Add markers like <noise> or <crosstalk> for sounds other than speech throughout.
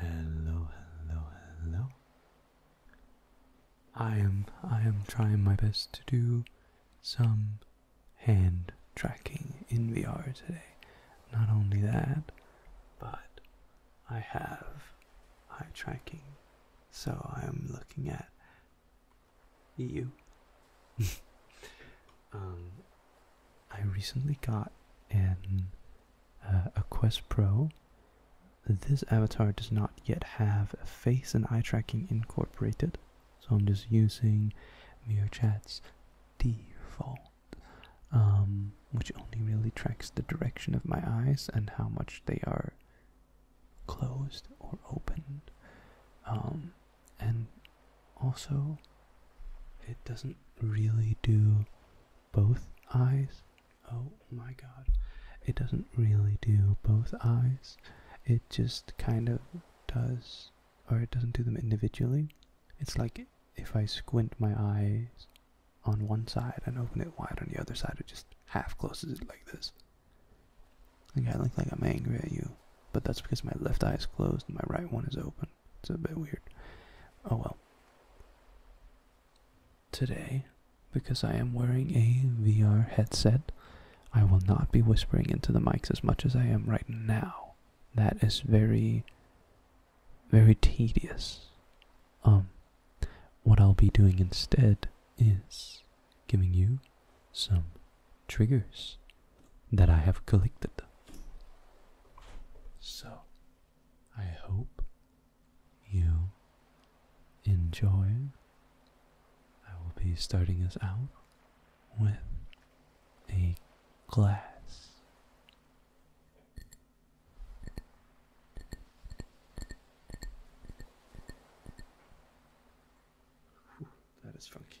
Hello, hello, hello. I am I am trying my best to do some hand tracking in VR today. Not only that, but I have eye tracking. So I'm looking at you. <laughs> um I recently got an uh, a Quest Pro. This avatar does not yet have face and eye tracking incorporated, so I'm just using Chat's default, um, which only really tracks the direction of my eyes and how much they are closed or open. Um, and also, it doesn't really do both eyes. Oh my god. It doesn't really do both eyes. It just kind of does, or it doesn't do them individually. It's like if I squint my eyes on one side and open it wide on the other side, it just half closes it like this. Like I look like I'm angry at you, but that's because my left eye is closed and my right one is open. It's a bit weird. Oh well. Today, because I am wearing a VR headset, I will not be whispering into the mics as much as I am right now. That is very, very tedious. Um, what I'll be doing instead is giving you some triggers that I have collected. So, I hope you enjoy. I will be starting us out with a glass. that is funky.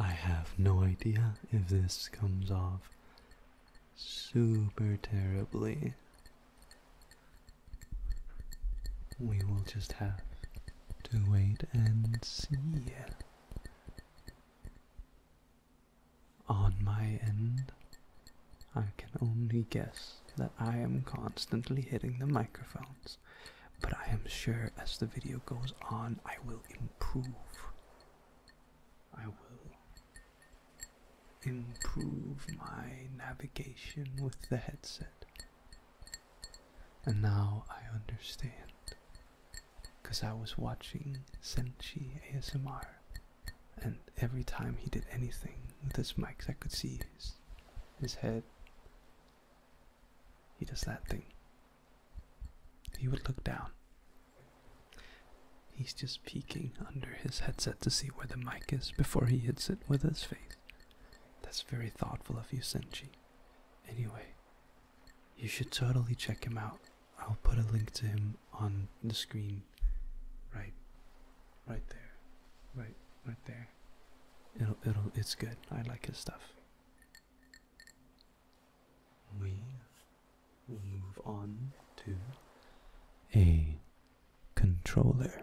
I have no idea if this comes off super terribly. We will just have to wait and see. On my end, I can only guess that I am constantly hitting the microphones, but I am sure as the video goes on, I will improve. I will improve my navigation with the headset. And now I understand. Because I was watching Senchi ASMR, and every time he did anything with his mics, I could see his, his head. He does that thing. He would look down. He's just peeking under his headset to see where the mic is before he hits it with his face. That's very thoughtful of you, Senchi. Anyway, you should totally check him out. I'll put a link to him on the screen. Right, right there, right, right there. It'll, it'll, it's good. I like his stuff. We will move on to a controller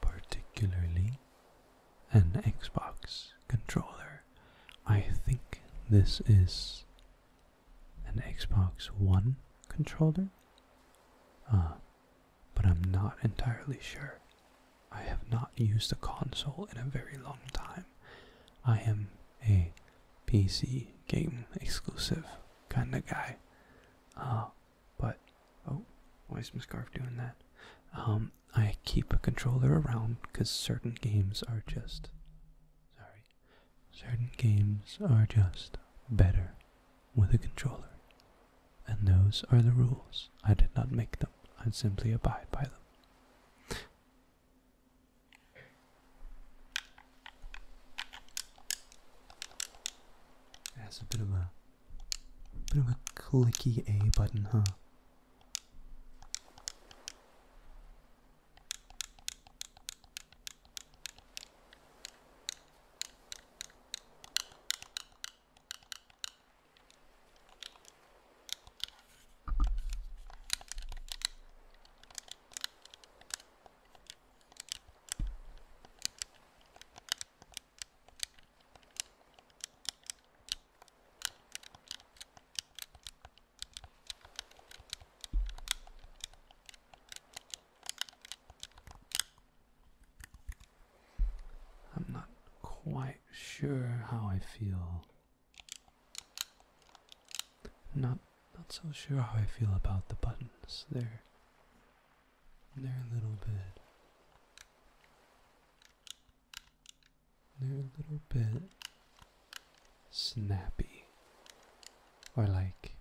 particularly an Xbox controller. I think this is an Xbox One controller, uh, but I'm not entirely sure. I have not used a console in a very long time. I am a PC game exclusive kind of guy, uh, but Oh, why is Mscarf doing that? Um, I keep a controller around because certain games are just. Sorry. Certain games are just better with a controller. And those are the rules. I did not make them, I simply abide by them. That's a bit of a Bit of a clicky A button, huh? I'm not quite sure how I feel. Not not so sure how I feel about the buttons. They're they're a little bit they're a little bit snappy. Or like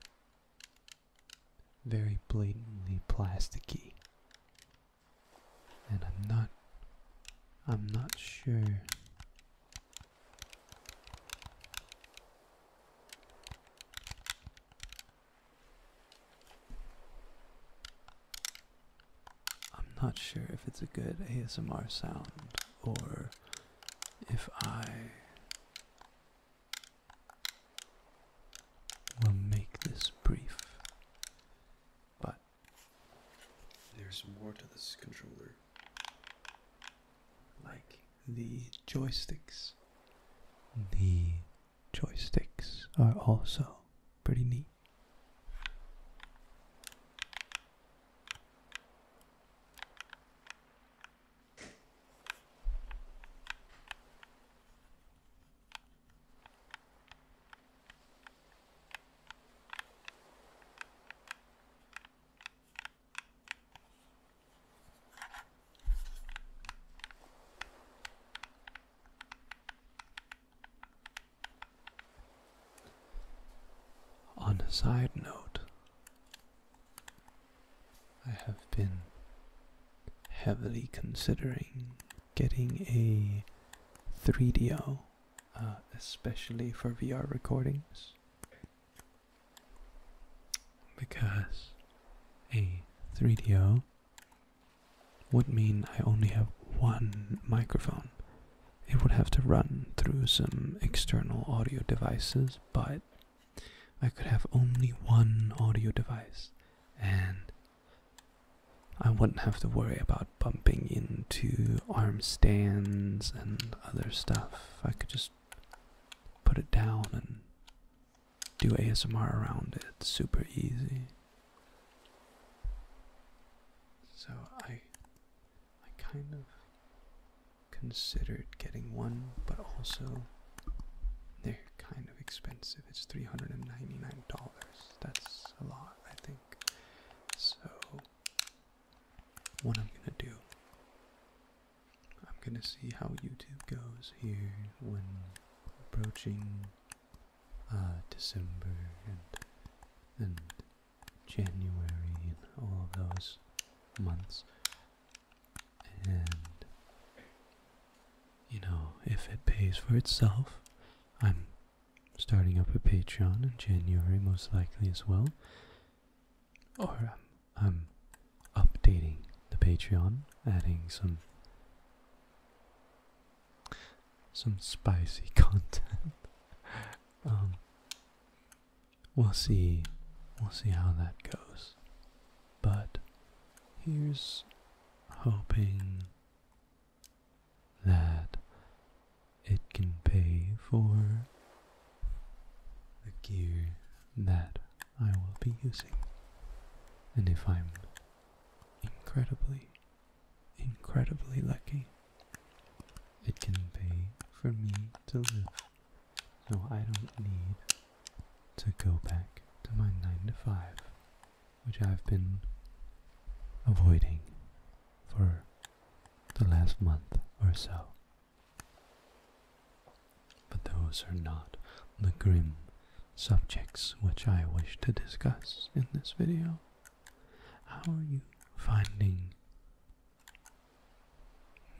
very blatantly plasticky. And I'm not I'm not sure I'm not sure if it's a good ASMR sound or if I will make this brief. But there's more to this controller. Like the joysticks, the joysticks are also pretty neat. On a side note, I have been heavily considering getting a 3DO, uh, especially for VR recordings, because a 3DO would mean I only have one microphone. It would have to run through some external audio devices, but I could have only one audio device and I wouldn't have to worry about bumping into arm stands and other stuff. I could just put it down and do ASMR around it. super easy. So I I kind of considered getting one, but also they're kind of expensive. It's $399. That's a lot, I think. So what I'm going to do I'm going to see how YouTube goes here when approaching uh, December and and January and all of those months. And you know, if it pays for itself, I'm starting up a Patreon in January most likely as well. Or I'm, I'm updating the Patreon, adding some some spicy <laughs> content. Um, we'll see. We'll see how that goes. But here's hoping that it can pay for the gear that I will be using. And if I'm incredibly incredibly lucky. It can pay for me to live, so I don't need to go back to my 9 to 5, which I've been avoiding for the last month or so. But those are not the grim subjects which I wish to discuss in this video. How are you finding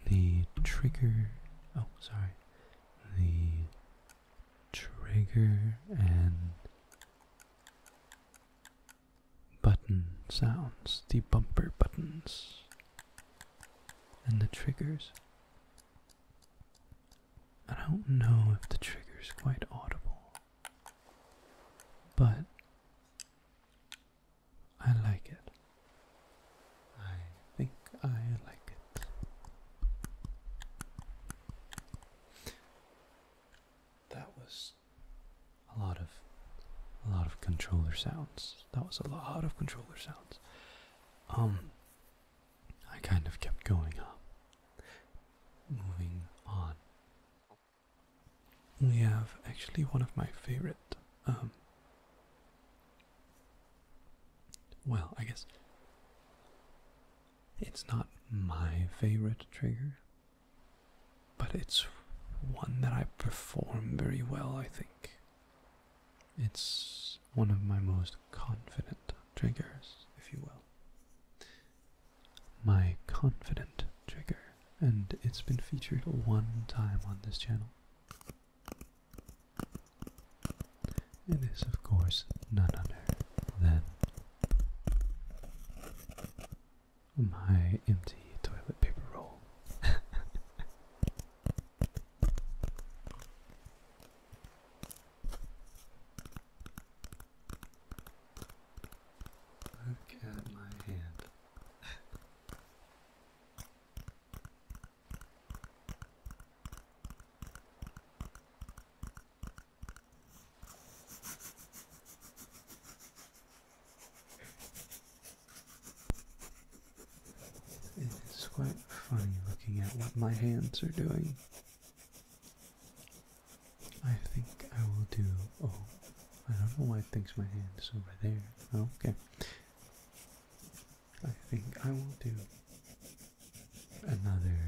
the trigger? Oh, sorry. The trigger and button sounds, the bumper buttons and the triggers. I don't know if the trigger's quite audible. But I like it. I think I like it. That was a lot of a lot of controller sounds. That was a lot of controller sounds. Um I kind of kept going up Moving on. We have actually one of my favorite. Um, well, I guess it's not my favorite trigger, but it's one that I perform very well, I think. It's one of my most confident triggers, if you will my confident trigger, and it's been featured one time on this channel. It is, of course, none other than my empty toilet paper roll. <laughs> Look at my hand. It is quite funny looking at what my hands are doing. I think I will do. Oh, I don't know why it thinks my hand is over there. okay. I think I will do another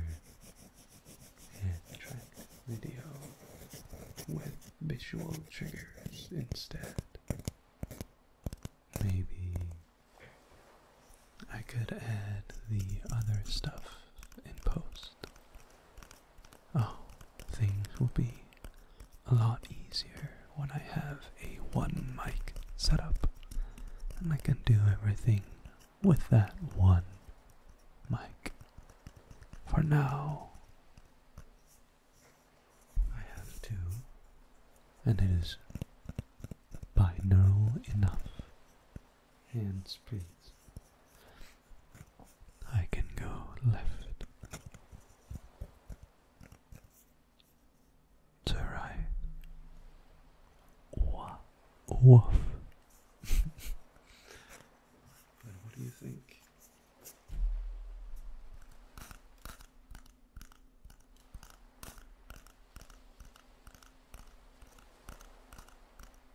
hand track video with visual triggers instead. Maybe I could add the other stuff in post. Oh, things will be a lot easier when I have a one mic setup and I can do everything with that one mic. For now, I have two, and it is binaural enough hands, please. I can go left to right. Woof. <laughs> Woof. and what do you think?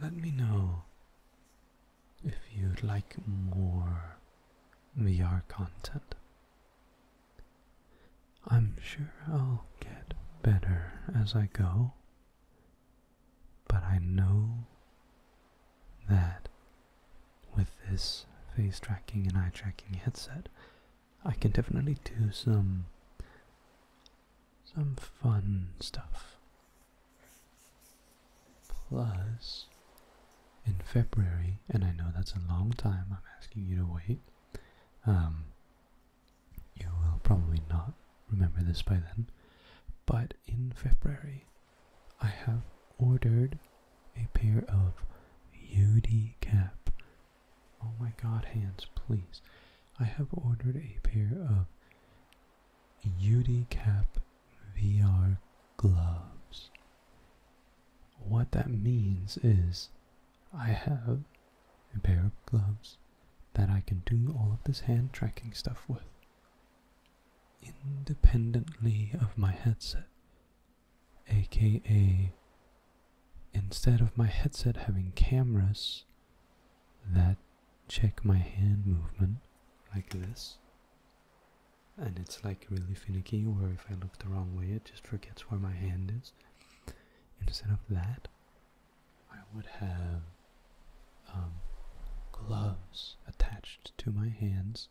Let me know if you'd like more VR content. I'm sure I'll get better as I go, but I know that with this face tracking and eye tracking headset, I can definitely do some some fun stuff. Plus, in February, and I know that's a long time, I'm asking you to wait. Um, you will probably not remember this by then, but in February, I have ordered a pair of UD cap Oh my god, hands, please. I have ordered a pair of Cap VR gloves. What that means is I have a pair of gloves that I can do all of this hand tracking stuff with independently of my headset aka instead of my headset having cameras that check my hand movement like this and it's like really finicky where if I look the wrong way it just forgets where my hand is instead of that I would have um, gloves attached to my hands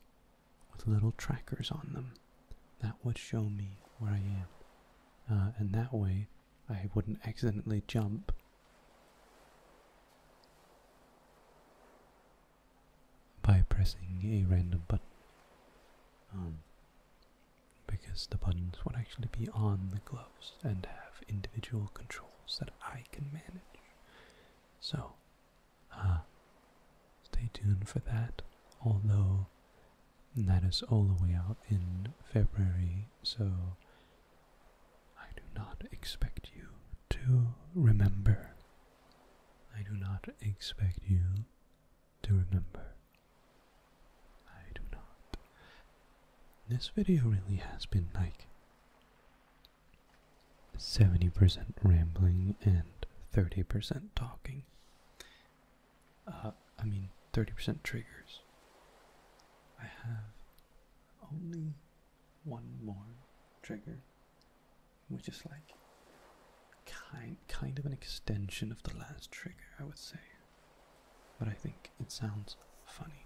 with little trackers on them that would show me where I am. Uh, and that way I wouldn't accidentally jump. By pressing a random button, um, because the buttons would actually be on the gloves and have individual controls that I can manage. So, uh, stay tuned for that. Although that is all the way out in February, so I do not expect you to remember. I do not expect you to remember. I do not. This video really has been like 70% rambling and 30% talking. Uh, I mean, 30% triggers. I have only one more trigger, which is like kind kind of an extension of the last trigger, I would say. But I think it sounds funny.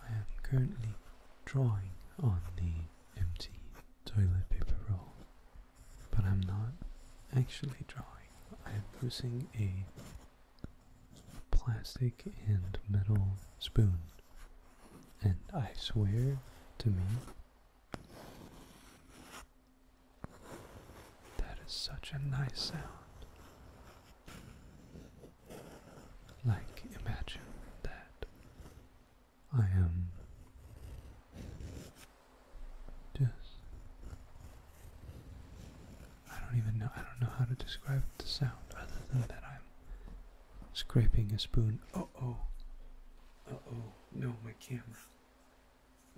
I am currently drawing on the empty toilet paper roll, but I'm not actually drawing. I am using a plastic and metal spoon, and I swear to me that is such a nice sound. Like, imagine that I am just. I don't even know. I don't know how to describe the sound other than that I'm scraping a spoon. Oh oh. oh oh. No, my camera.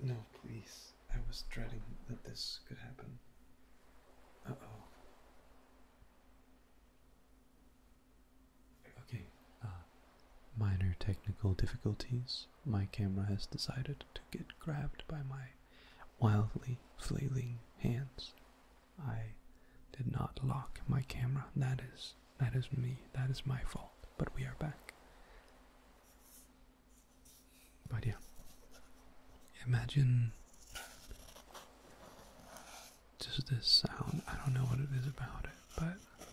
No, please. I was dreading that this could happen. Uh oh. Okay, uh, minor technical difficulties. My camera has decided to get grabbed by my wildly flailing hands. I did not lock my camera. That is that is me. That is my fault. But we are back. But yeah, imagine Does this sound. I don't know what it is about it, but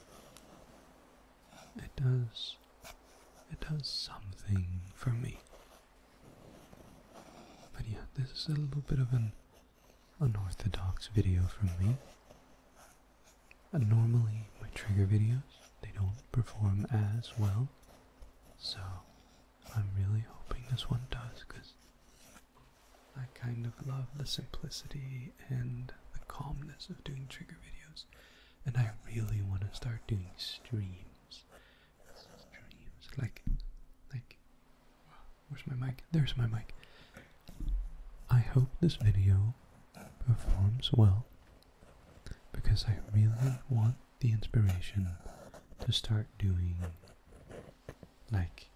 it does it does something for me. But yeah, this is a little bit of an unorthodox video from me. normally my trigger videos they don't perform as well. So I'm really hoping this one does because I kind of love the simplicity and the calmness of doing trigger videos. And I really want to start doing streams. Streams. Like, like, where's my mic? There's my mic. I hope this video performs well because I really want the inspiration to start doing like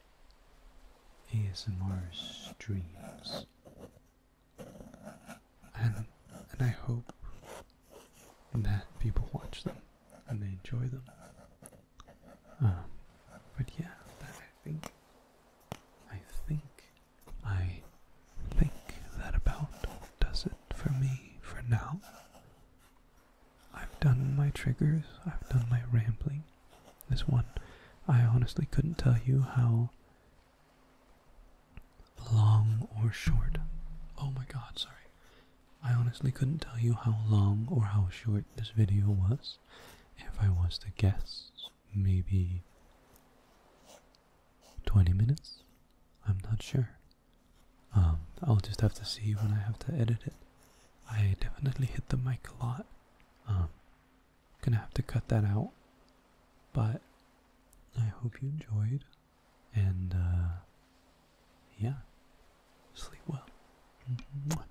ASMR streams. And, and I hope that people watch them and they enjoy them. Um, but yeah, that I think, I think I think that about does it for me for now. I've done my triggers, I've done my rambling. This one, I honestly couldn't tell you how long or short. Oh my god, sorry. I honestly couldn't tell you how long or how short this video was. If I was to guess, maybe 20 minutes? I'm not sure. Um, I'll just have to see when I have to edit it. I definitely hit the mic a lot. Um, gonna have to cut that out. But I hope you enjoyed. And, uh, yeah. Sleep well. Mm-hmm.